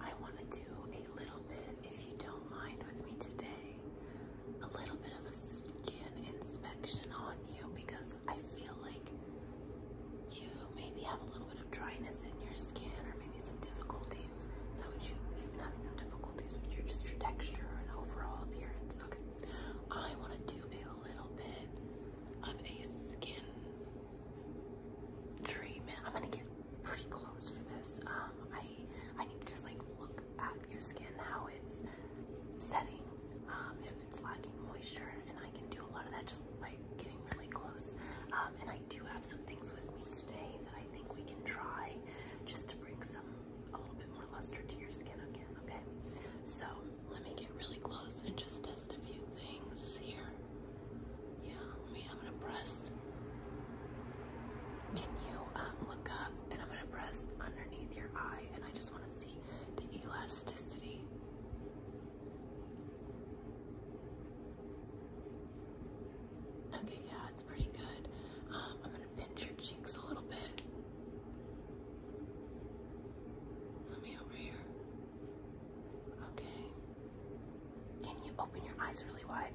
I want to do a little bit, if you don't mind with me today, a little bit of a skin inspection on you because I feel like you maybe have a little bit of dryness in your skin or maybe some difficulties. Is that what you, you've been having some difficulties with your, just your texture and overall appearance? Okay. I want to do a little bit of a skin treatment. I'm gonna get pretty close for this. Um, I I need to just like look at your skin how it's setting, um, if it's lacking moisture, and I can do a lot of that just by getting really close. Um, and I do have some things with me today that I think we can try just to bring some a little bit more luster to your skin again. Okay, so let me get really close and just test a few things here. Yeah, I'm gonna press. Can you um, look up and I'm gonna press underneath your eye and I just wanna see the elasticity. Okay, yeah, it's pretty good. Um, I'm gonna pinch your cheeks a little bit. Let me over here. Okay. Can you open your eyes really wide?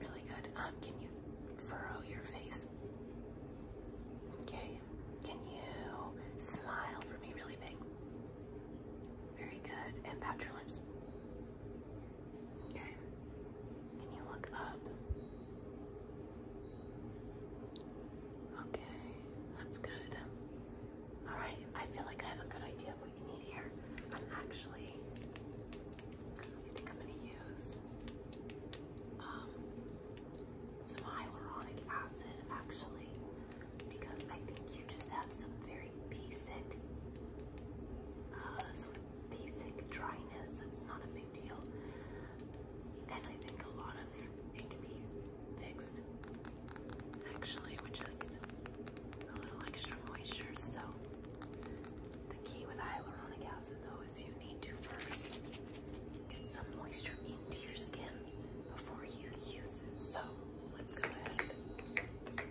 Really good. Um, can you furrow your face? Okay. Can you smile for me really big? Very good. And pat your lips. Okay. Can you look up? Okay. That's good. Alright, I feel like I have a good idea of what you need here. I'm actually, I think I'm going to use um, some hyaluronic acid actually, because I think you just have some very basic, uh, sort of basic dryness that's not a big deal. And I think a lot of it can be fixed. Actually, with just a little extra moisture. So, the key with hyaluronic acid, though, is you need to first get some moisture into your skin before you use it. So, let's go ahead and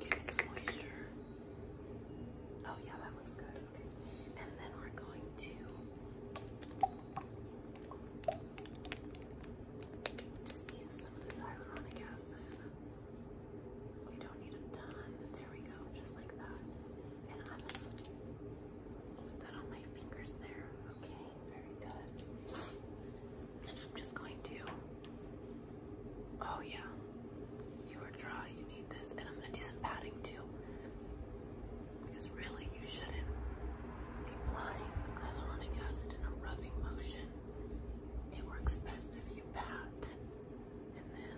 get some moisture. Oh, yeah, that looks good. Okay. And then we're going to just use some of this hyaluronic acid. We don't need a ton. There we go, just like that. And I'm going that on my fingers there. Okay, very good. And I'm just going to. Oh, yeah. You are dry. You need this. And I'm gonna do some padding too. Because really, you shouldn't be applying hyaluronic acid in a rubbing motion. It works best if you pat. And then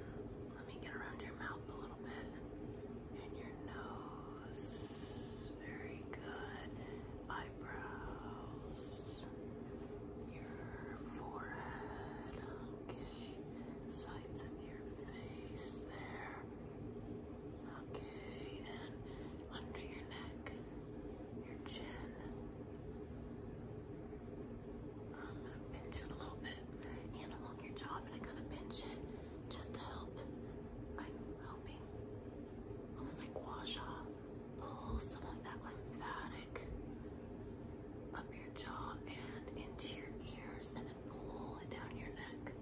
let me get around your mouth a little bit. And your nose. Very good. Eyebrows. Your forehead. Okay. Sides of your face there. Okay, and under your neck, your chin. I'm gonna pinch it a little bit, and along your jaw, but I'm gonna pinch it just to help. I'm hoping almost like wash off, pull some of that lymphatic up your jaw and into your ears, and then pull it down your neck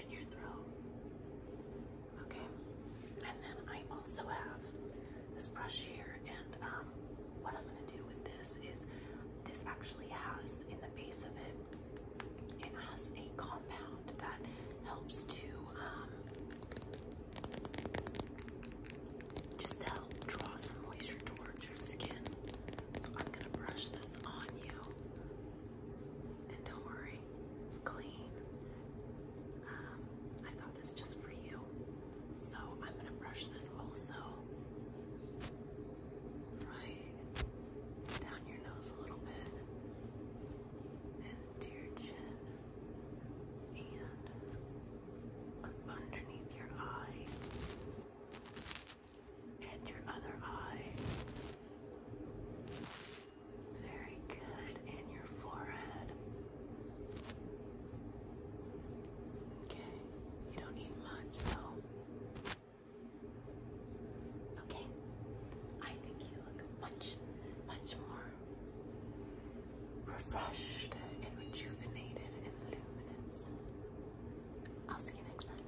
and your throat. Okay, and then I also have this brush here, and um, what I'm gonna do with this is this actually has in the base of it, it has a compound that helps to um, just help draw some moisture towards your skin. I'm gonna brush this on you and don't worry, it's clean. Um, I got this just for you. So I'm gonna brush this also right down your nose a little bit and your chin and underneath your eye and your other eye. Very good. And your forehead. Okay. You don't need much, though. Okay. I think you look much, much more refreshed and rejuvenated and luminous. I'll see you next time.